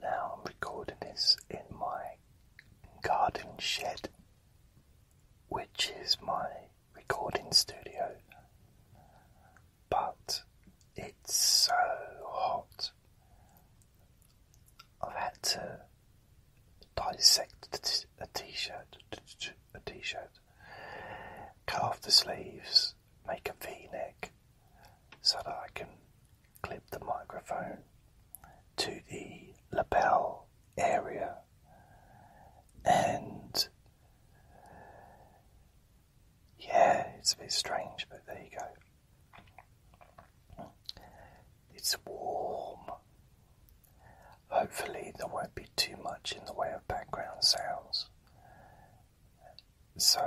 Now I'm recording this in my garden shed, which is my recording studio, but it's so hot. I've had to dissect a t-shirt, a t-shirt, cut off the sleeves, make a v-neck so that I can clip the microphone to the lapel area and yeah, it's a bit strange, but there you go. It's warm. Hopefully, there won't be too much in the way of background sounds so,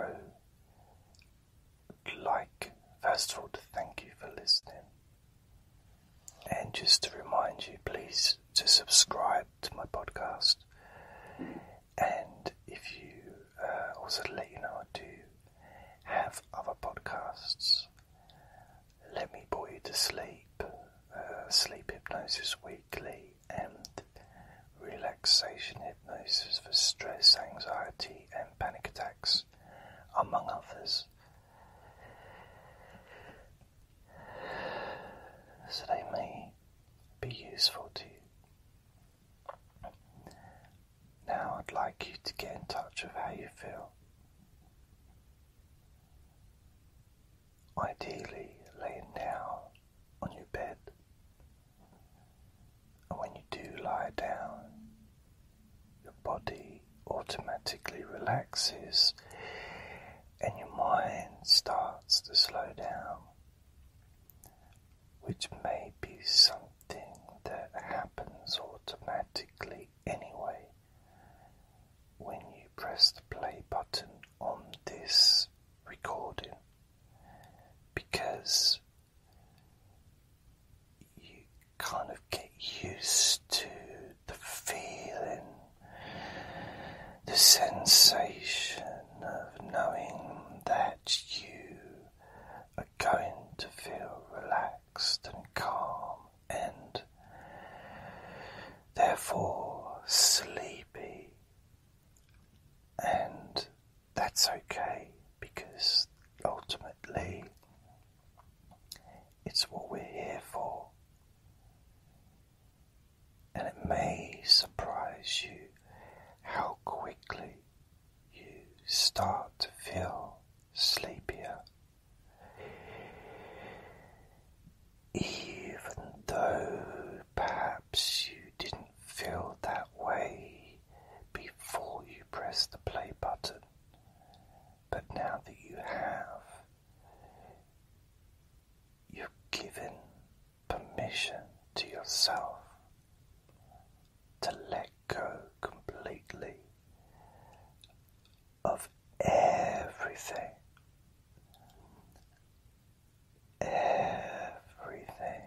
like, first of all, to thank you for listening. And just to remind you, please, to subscribe to my podcast. And if you uh, also let you know I do have other podcasts, Let Me Bore You to Sleep, uh, Sleep Hypnosis Week weekly and relaxation hypnosis for stress, anxiety, and panic attacks, among others. So they may be useful to you. Now I'd like you to get in touch with how you feel ideally laying down on your bed. And when you do lie down, your body automatically relaxes and your mind starts to slow down, which may be something that happens automatically anyway when you press the play button on this recording because you kind of get used to the feeling, the sensation of knowing that you are going to feel relaxed and calm and therefore sleepy and that's okay because ultimately it's what we're here for. And it may surprise you how quickly you start to feel sleepier even though perhaps you didn't feel that way before you pressed the play button. But now that you have, you've given permission to yourself to let go completely of everything everything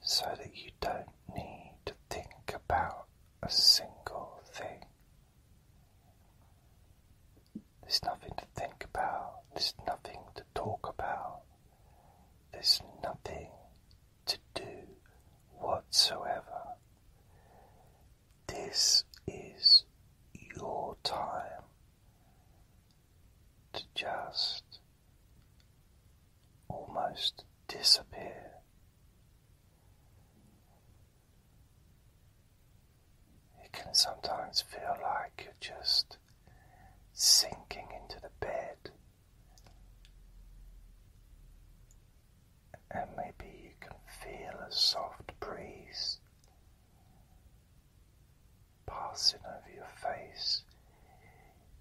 so that you don't need to think about a single thing. There's nothing to think about, there's nothing to talk about, there's nothing to do whatsoever. This is your time to just almost disappear. It can sometimes feel like you're just sinking into the bed and maybe you can feel a soft breeze passing over your face,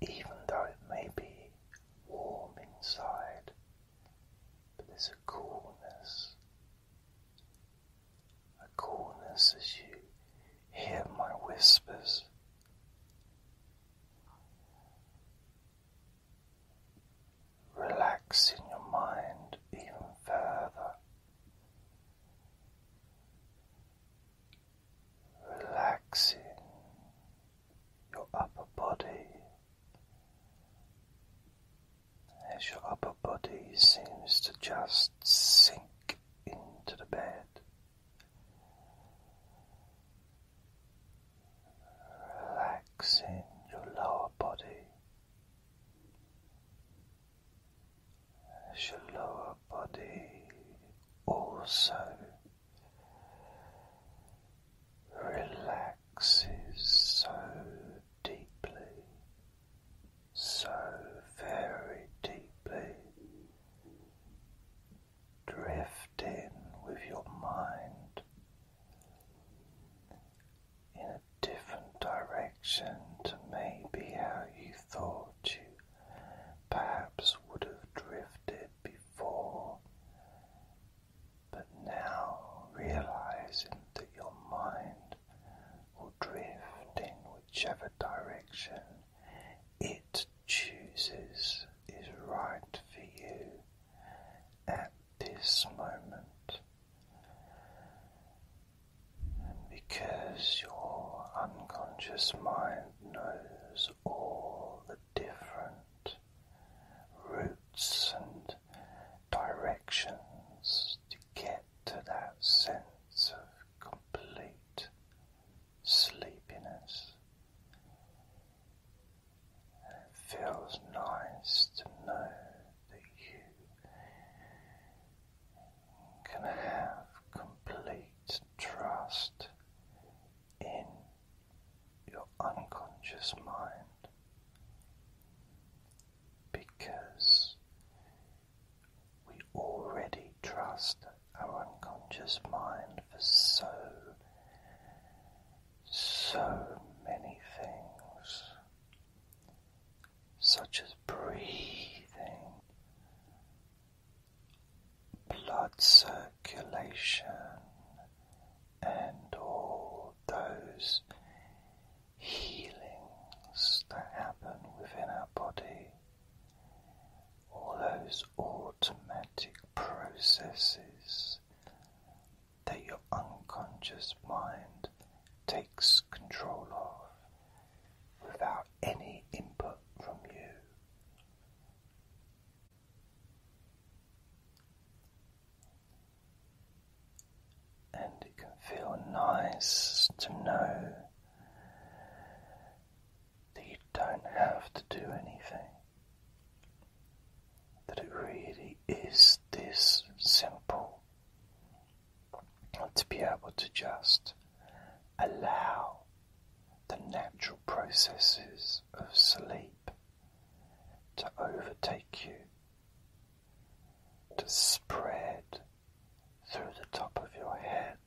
even though it may be warm inside, but there's a coolness, a coolness as you hear my whispers. Relax in your mind even further. Relaxing your upper body as your upper body seems to just sink into the bed, relaxing your lower body as your lower body also relaxes so deeply, so very deeply, drifting with your mind in a different direction to maybe how you thought you perhaps would have drifted before, but now realizing that your mind will drift in whichever direction it chooses is right for you at this moment. because your unconscious mind knows all the different routes and directions to get to that sense of complete sleepiness, it feels nice to know that you can have complete trust in your unconscious mind because we already trust our unconscious mind for so so many things, such as breathing, blood circulation, and all those healings that happen within our body, all those automatic processes that your unconscious mind takes control of without any input from you. And it can feel nice to know that you don't have to do anything that it really is this simple to be able to just allow the natural processes of sleep to overtake you, to spread through the top of your head,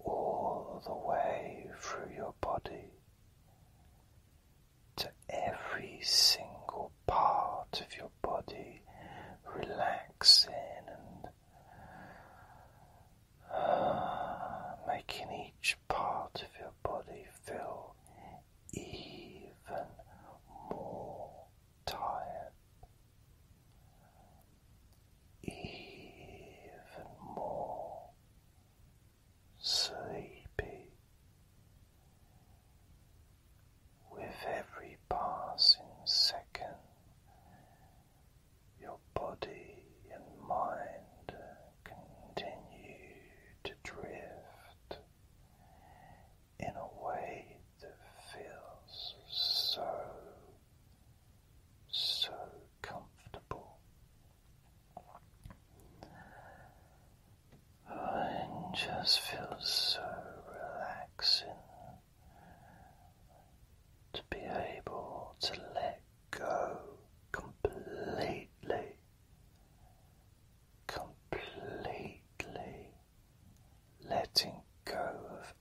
all the way through your body, to every single part of your body relaxing and uh, making each part of your body feel even more tired, even more sleepy. With every passing second, your body and mind continue to drift in a way that feels so, so comfortable. Mine just feels so relaxing to be able to let go completely, completely letting go of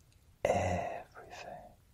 everything.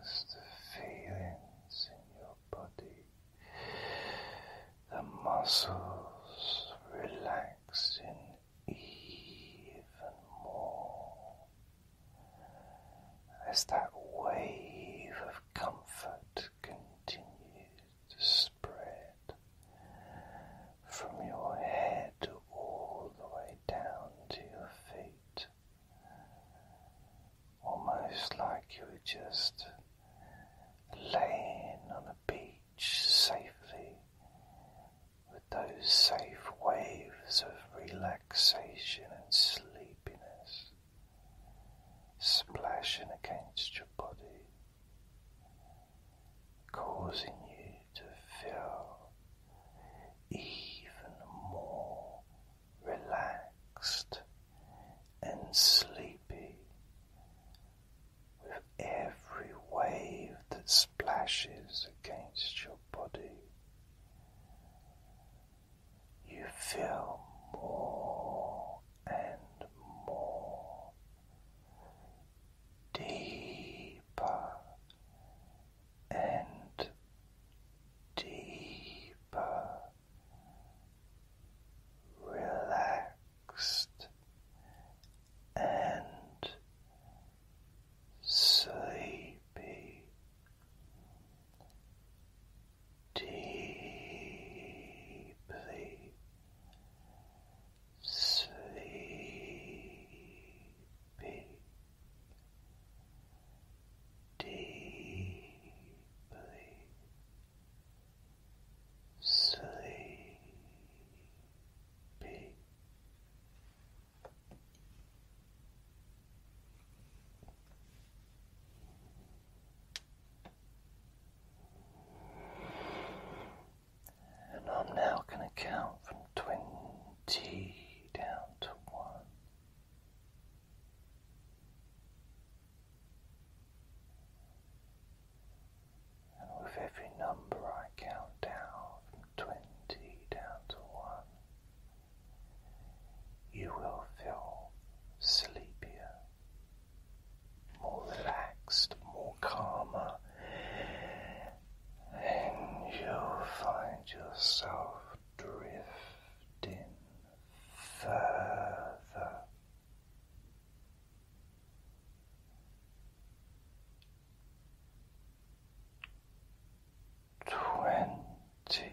as the feelings in your body, the muscles relaxing even more as that wave of comfort continues to spread from your head all the way down to your feet almost like you were just laying on a beach safely with those safe waves of relaxation and sleepiness splashing against your body, causing you to feel even more relaxed and sleepy with every wave that splashes against your body. You feel more and more deeper and deeper relaxed and sleepy deeply sleepy deeply sleepy. And I'm now going to count from twenty T down to one. And with every number I count down from twenty down to one, you will feel sleepier, more relaxed, more calmer, and you'll find yourself drifting further twenty.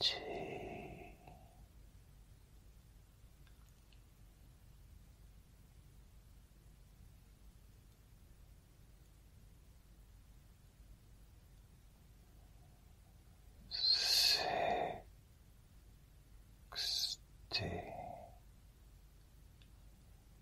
seventy. Sixty